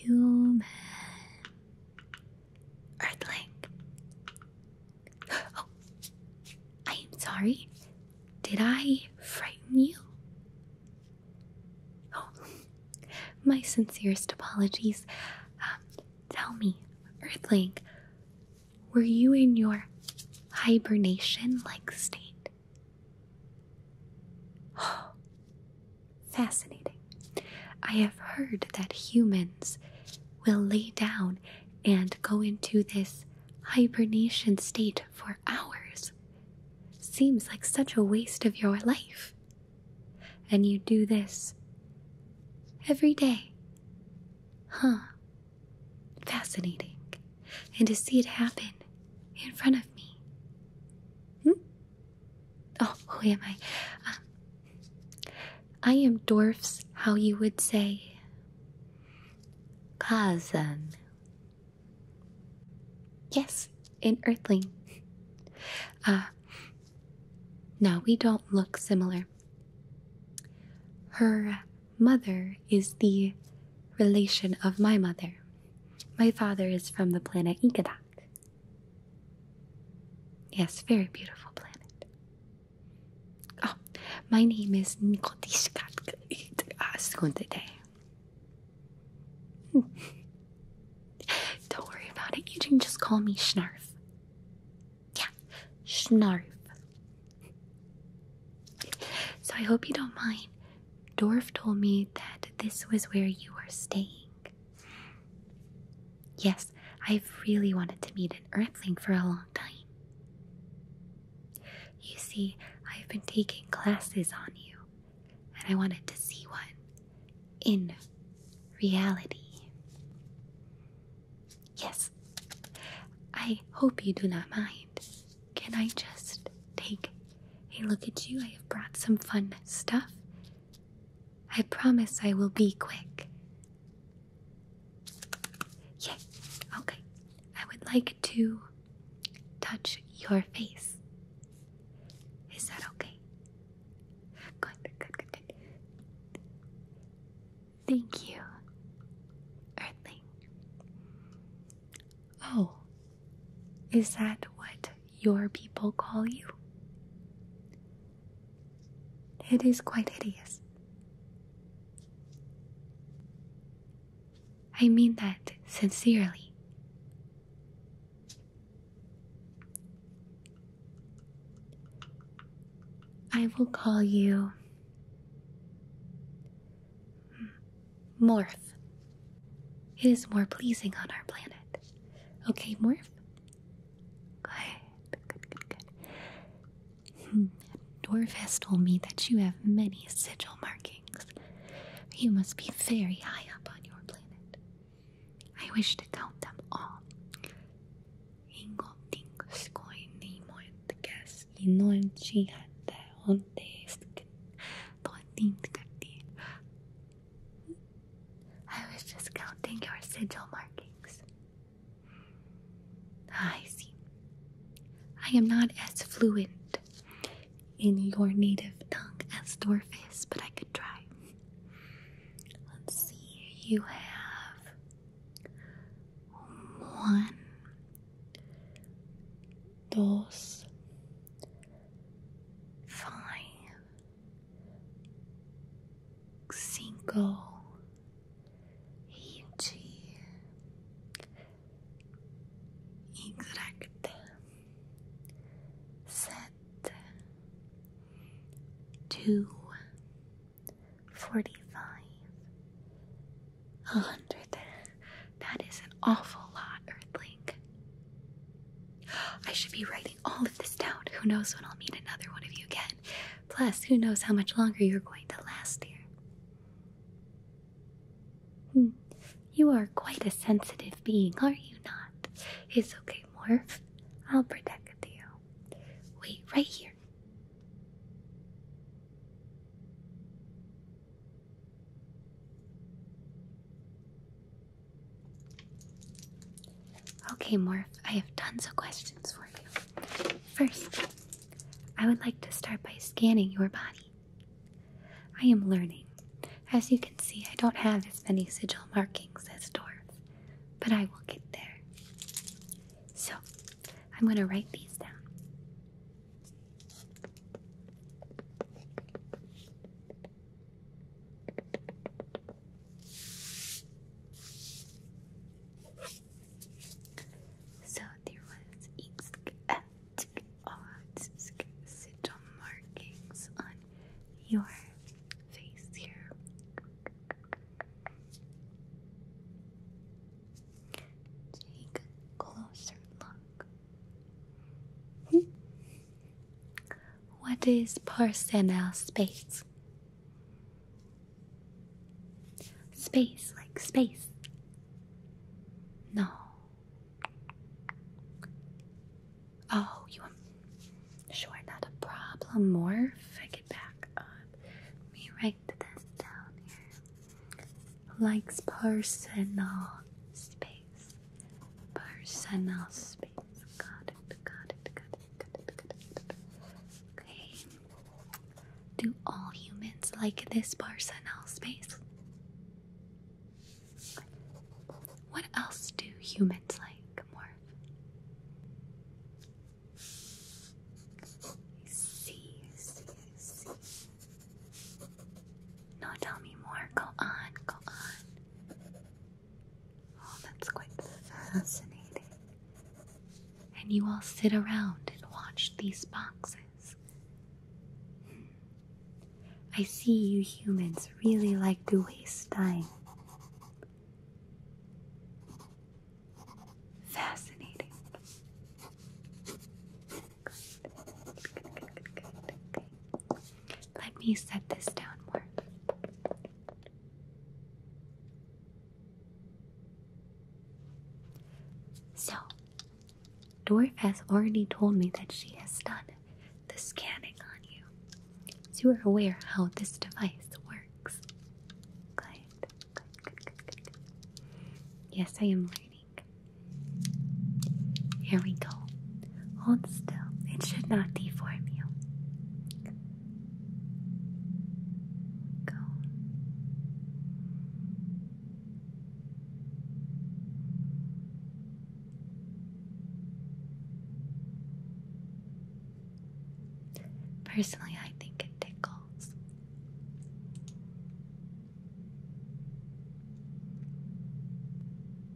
Human Earthling Oh, I am sorry. Did I frighten you? Oh, my sincerest apologies. Um, tell me, Earthling, were you in your hibernation like state? Oh, fascinating. I have heard that humans will lay down and go into this hibernation state for hours. Seems like such a waste of your life. And you do this every day. Huh. Fascinating. And to see it happen in front of me. Hmm? Oh, who am I? Um, I am dwarfs, how you would say. Cousin. Yes, an earthling. Ah, uh, now we don't look similar. Her mother is the relation of my mother. My father is from the planet Ikadak. Yes, very beautiful planet. Oh, my name is Nikodishka. Ah, today. Don't worry about it. You can just call me Schnarf. Yeah, Schnarf. So I hope you don't mind. Dorf told me that this was where you were staying. Yes, I've really wanted to meet an Earthling for a long time. You see, I've been taking classes on you, and I wanted to see one in reality. Yes, I hope you do not mind. Can I just take Hey, look at you? I have brought some fun stuff. I promise I will be quick. Yes, okay. I would like to touch your face. Is that okay? Good, good, good, good. Thank you, Earthling. Oh, is that what your people call you? It is quite hideous. I mean that sincerely. I will call you Morph. It is more pleasing on our planet. Okay, Morph? Good, Hmm. Dwarf has told me that you have many sigil markings. You must be very high up on your planet. I wish to count them all. I was just counting your sigil markings. I see. I am not as fluent in your native tongue as Dorf is, but I could try. Let's see, you have one, dos, five, cinco. Gente, set two forty five, a hundred. That is an awful lot, Earthling. I should be writing all of this down. Who knows when I'll meet another one of you again. Plus, who knows how much longer you're going to last here. Hmm. You are quite a sensitive being, are you not? It's okay, Morph. I'll protect you. Wait right here. Okay, Morph, I have tons of questions for you. First, I would like to start by scanning your body. I am learning. As you can see, I don't have as many sigil markings as dwarves, but I will get there. So, I'm going to write these down. So there was ink and odd markings on your face here. Take a closer look. Hmm? What is personnel space? Space, like space. No. Oh, you want. Sure, not a problem. Morph. I get back up. Let me write down here. Likes personal space. Personal space. Okay. Do all humans like this personal space? What else do humans like more? see, see, see. No, tell me more. Go on, go on. Oh, that's quite fascinating. And you all sit around and watch these boxes. Hmm. I see you humans really like to waste time. Fascinating. Good. Good, good, good, good. Okay. Let me set this down more. So, Dwarf has already told me that she has done the scanning on you. So you're aware how this device works. Yes, I am learning. Here we go. Hold still. It should not deform you. Go. Personally, I think it tickles.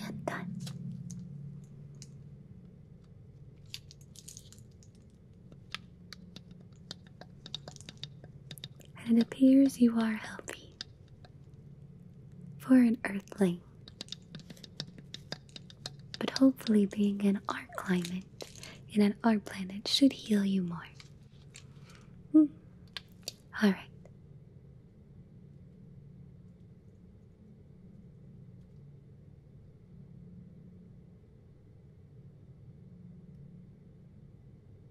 やった。And it appears you are healthy for an earthling. But hopefully, being in our climate and on our planet should heal you more. Hmm. Alright.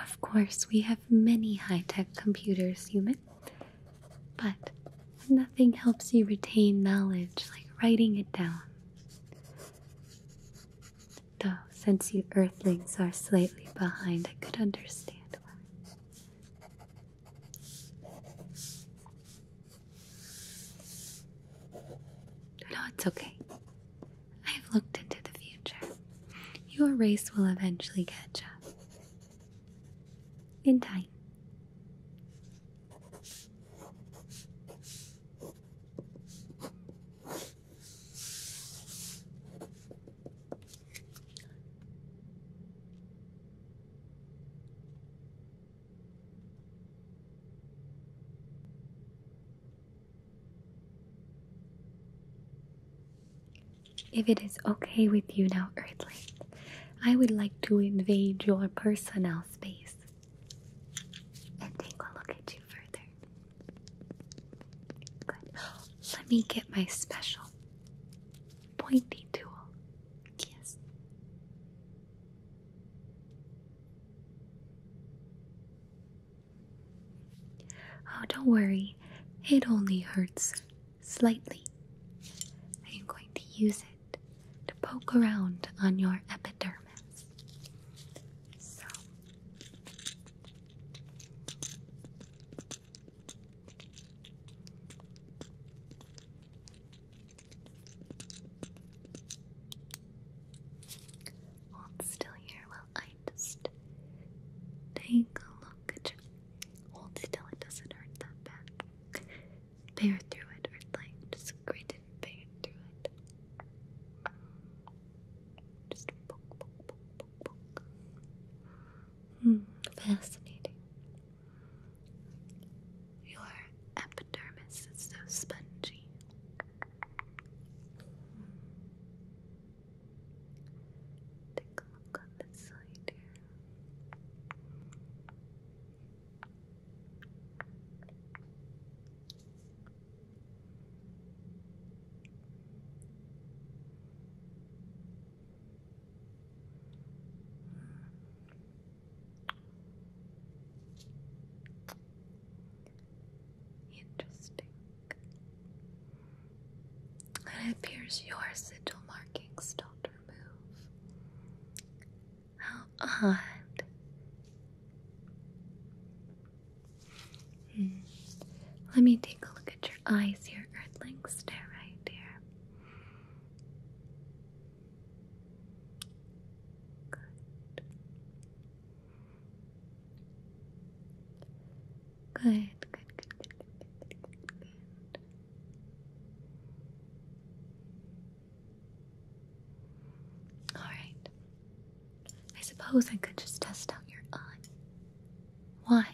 Of course, we have many high tech computers, human, but nothing helps you retain knowledge like writing it down. Though, since you earthlings are slightly behind, I could understand why. No, it's okay. I have looked into the future. Your race will eventually catch up. In time. If it is okay with you now, Earthling, I would like to invade your personal space and take a look at you further. Good. Let me get my special pointy tool. Yes. Oh, don't worry. It only hurts slightly. I am going to use it to poke around on your epidermis experiments. Hold still here while I just take a look you. Hold still, it doesn't hurt that bad. Bear through it, Earthling. Just Hmm, fascinating. Your epidermis is so spongy. Take a look on this side here. Interesting. It appears your sigil markings don't remove how odd. Let me take a look at your eyes Your Earthling. Stare right there. good, good, good, good, good, good. Alright. I suppose I could just test out your eyes. What?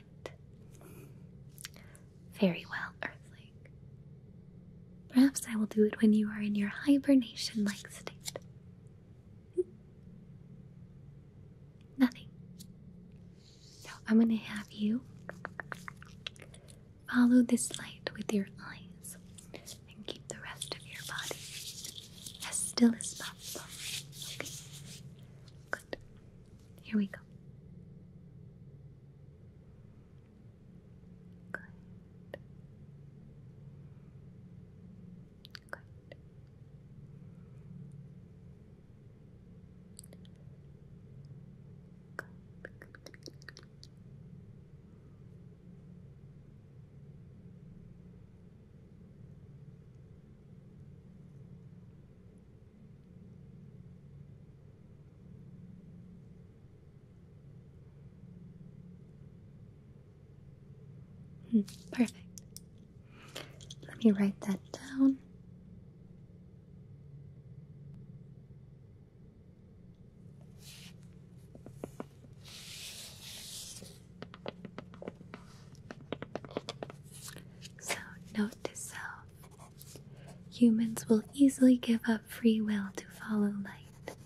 Very well, Earthling. Perhaps I will do it when you are in your hibernation like state. Hmm. Nothing. So I'm going to have you follow this light with your eyes and keep the rest of your body as still as possible. Okay? Good. Here we go. Good. Good. Good. Hmm, perfect. Let me write that down. So, note to self humans will easily give up free will to follow light.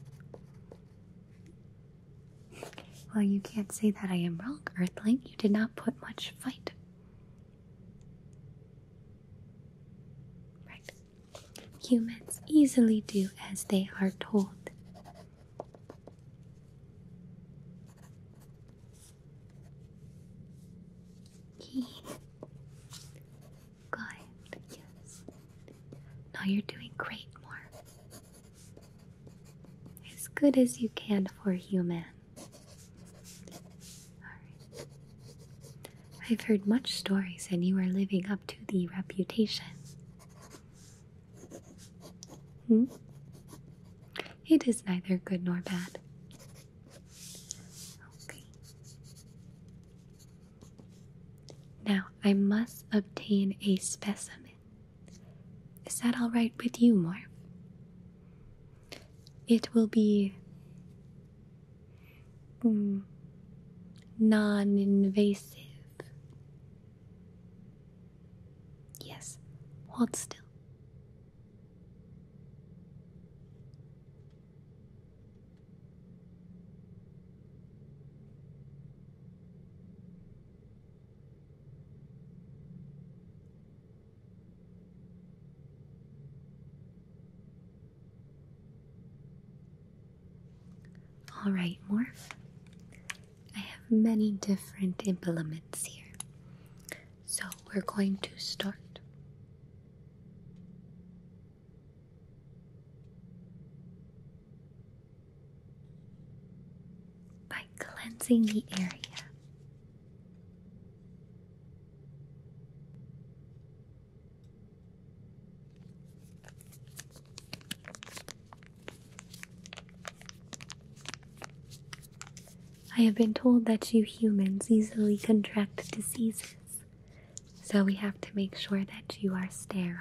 Well, you can't say that I am wrong, Earthling. You did not put much fight. Right. Humans easily do as they are told. yes. Now you're doing great, more. As good as you can for human. I've heard much stories, and you are living up to the reputation. Hmm? It is neither good nor bad. Okay. Now I must obtain a specimen. Is that all right with you, Morph? It will be Non invasive. Yes, hold still. Alright, Morph. I have many different implements here. So we're going to start by cleansing the area. I have been told that you humans easily contract diseases, so we have to make sure that you are sterile.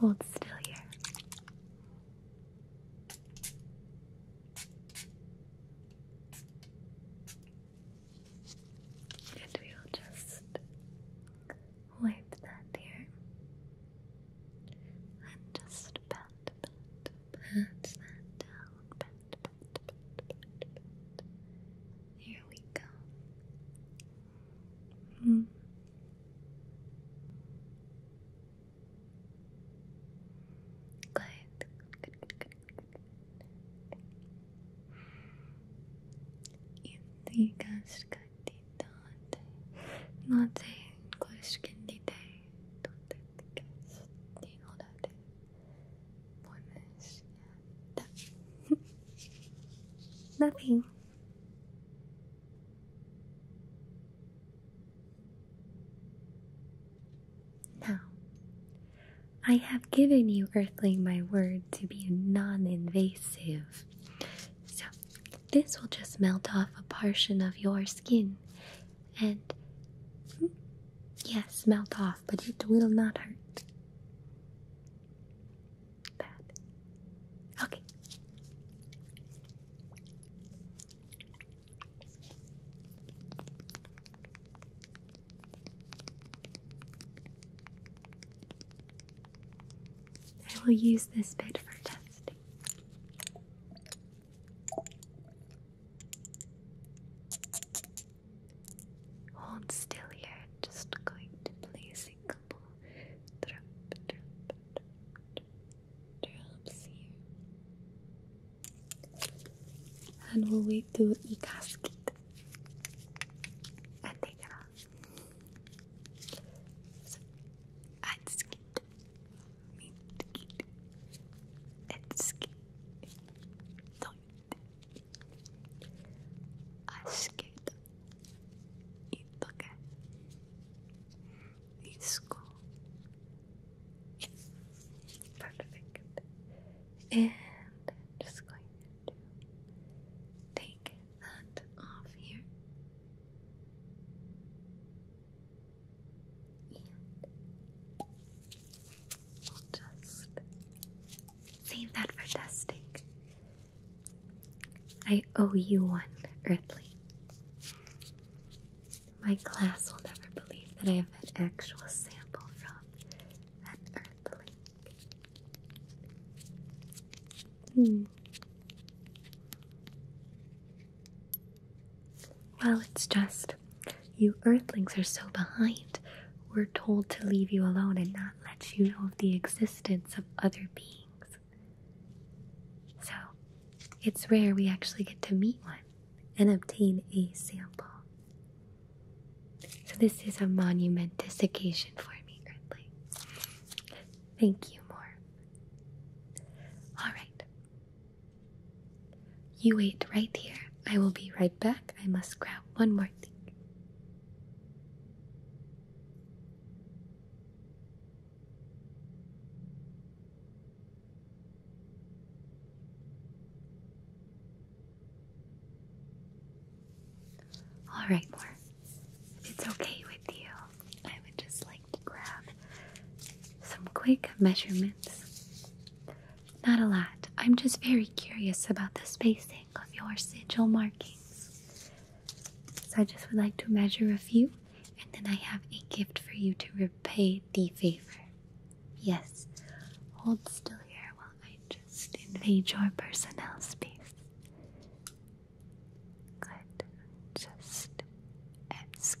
Hold still here. And we'll just wipe that here. And just pat, pat, pat that down, there we go. Hmm. Good. Good, good, good, good. Intrigas candidate, not a question today. Don't take the guess. Nothing. Now, I have given you, Earthling, my word to be non invasive. So, this will just melt off a portion of your skin and, hmm, yes, melt off but it will not hurt. Okay. I will use this bit for testing. Hold still here, just going to play a couple drops here. And we'll wait to e-casket and take it off. and skit. Mean, asket perfect and I'm just going to take that off here save that for testing. I owe you one, Earthling. My class will never believe that I have an actual sample from an Earthling. Hmm. Well, it's just you earthlings are so behind. We're told to leave you alone and not let you know of the existence of other beings. So, it's rare we actually get to meet one and obtain a sample. So, this is a monumentous occasion for me, Earthling. Thank you, Morm. Alright, you wait right here. I will be right back. I must grab one more thing. All right, Mor. If it's okay with you, I would just like to grab some quick measurements not a lot. I'm just very curious about the spacing of your sigil markings. So I just would like to measure a few, and then I have a gift for you to repay the favor. Yes, hold still here while I just invade your personnel space. Good. Just ask.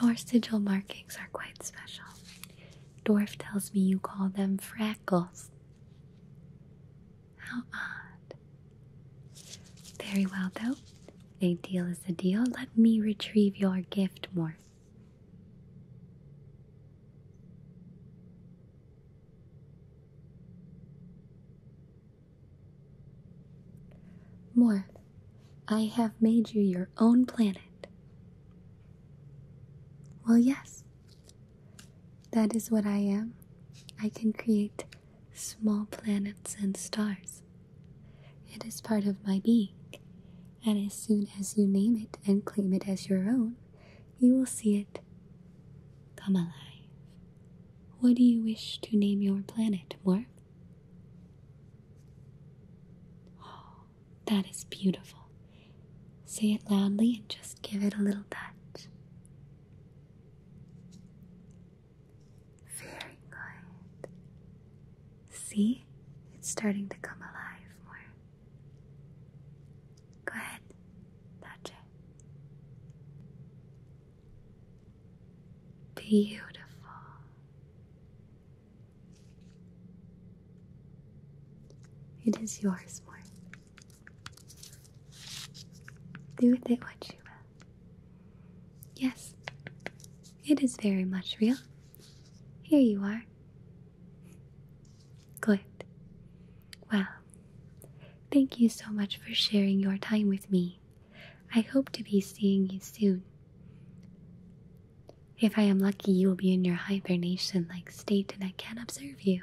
Your sigil markings are quite special. Dwarf tells me you call them freckles. How odd. Very well, though. A deal is a deal. Let me retrieve your gift, Morph. Morph, I have made you your own planet. Well, yes, that is what I am. I can create small planets and stars. It is part of my being, and as soon as you name it and claim it as your own, you will see it come alive. What do you wish to name your planet, Morph? Oh, that is beautiful. Say it loudly and just give it a little touch. Very good. See, it's starting to come alive more. Go ahead, touch it. Beautiful. It is yours more. Do with it what you will. Yes, it is very much real. Here you are. Good. Well, thank you so much for sharing your time with me. I hope to be seeing you soon. If I am lucky, you will be in your hibernation like state and I can observe you.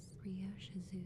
Thomas, Rio Shizu,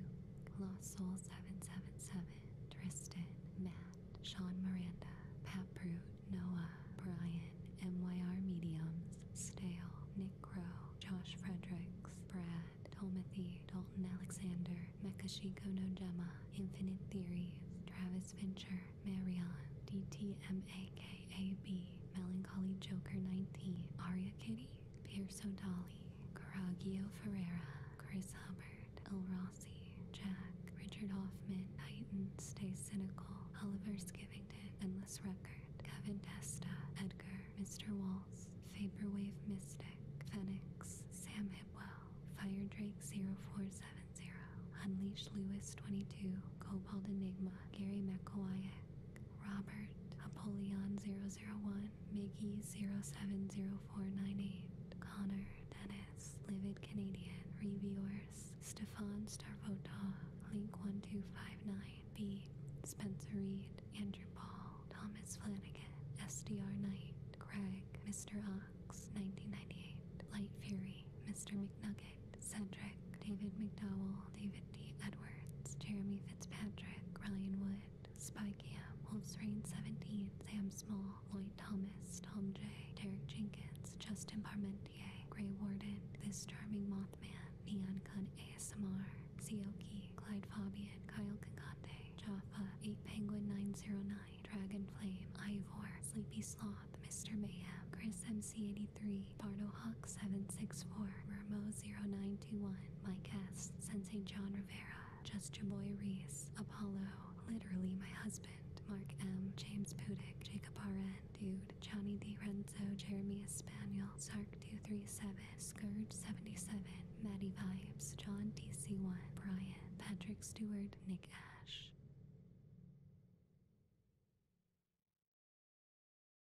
Lost Soul 777, Tristan, Matt, Sean Miranda, Pat Prout, Noah, Brian, MYR Mediums, Stale, Nick Crow, Josh Fredericks, Brad, Tolmathy, Dalton Alexander, Mekashiko Nojema, Infinite Theories, Travis Fincher, Marion, DTMAKAB, Melancholy Joker 19, Aria Kitty, Pierce O'Dally, Coragio Ferreira, Chris Hubbard, El Rossi, Jack, Richard Hoffman, Titan, Stay Cynical, Oliver Skivington, Endless Record, Kevin Testa, Edgar, Mr. Waltz, Vaporwave Mystic, Phoenix, Sam Hipwell, Fire Drake 0470, Unleashed Lewis 22, Cobalt Enigma, Gary McElwyack, Robert, Apollyon 001, Mickey 070498, Connor, Dennis, Livid Canadian, Reviewers, Stefan Starvota, Link1259, B, Spencer Reed, Andrew Paul, Thomas Flanagan, SDR Knight, Craig, Mr. Ox, 1998, Light Fury, Mr. McNugget, Cedric, David McDowell, David D. Edwards, Jeremy Fitzpatrick, Ryan Wood, Spike Ham, Wolves Reign 17, Sam Small, Lloyd Thomas, Tom J, Derek Jenkins, Justin Parmentier, Gray Warden, This Charming Mothman, Neon Gun ASMR, Seoki, Clyde Fabian, Kyle Kakante, Jaffa, 8 Penguin 909, Dragon Flame, Ivor, Sleepy Sloth, Mr. Mayhem, Chris MC86, Three 983, Barnohawk 764, Ramo 0921, My Guest, Sensei John Rivera, Just Your Boy Reese, Apollo, Literally My Husband, Mark M, James Pudick, Jacob RN, Dude, Johnny D. Renzo, Jeremy Espaniel, Sark237, Scourge77, Maddie Vibes, John DC1, Brian, Patrick Stewart, Nick Ash.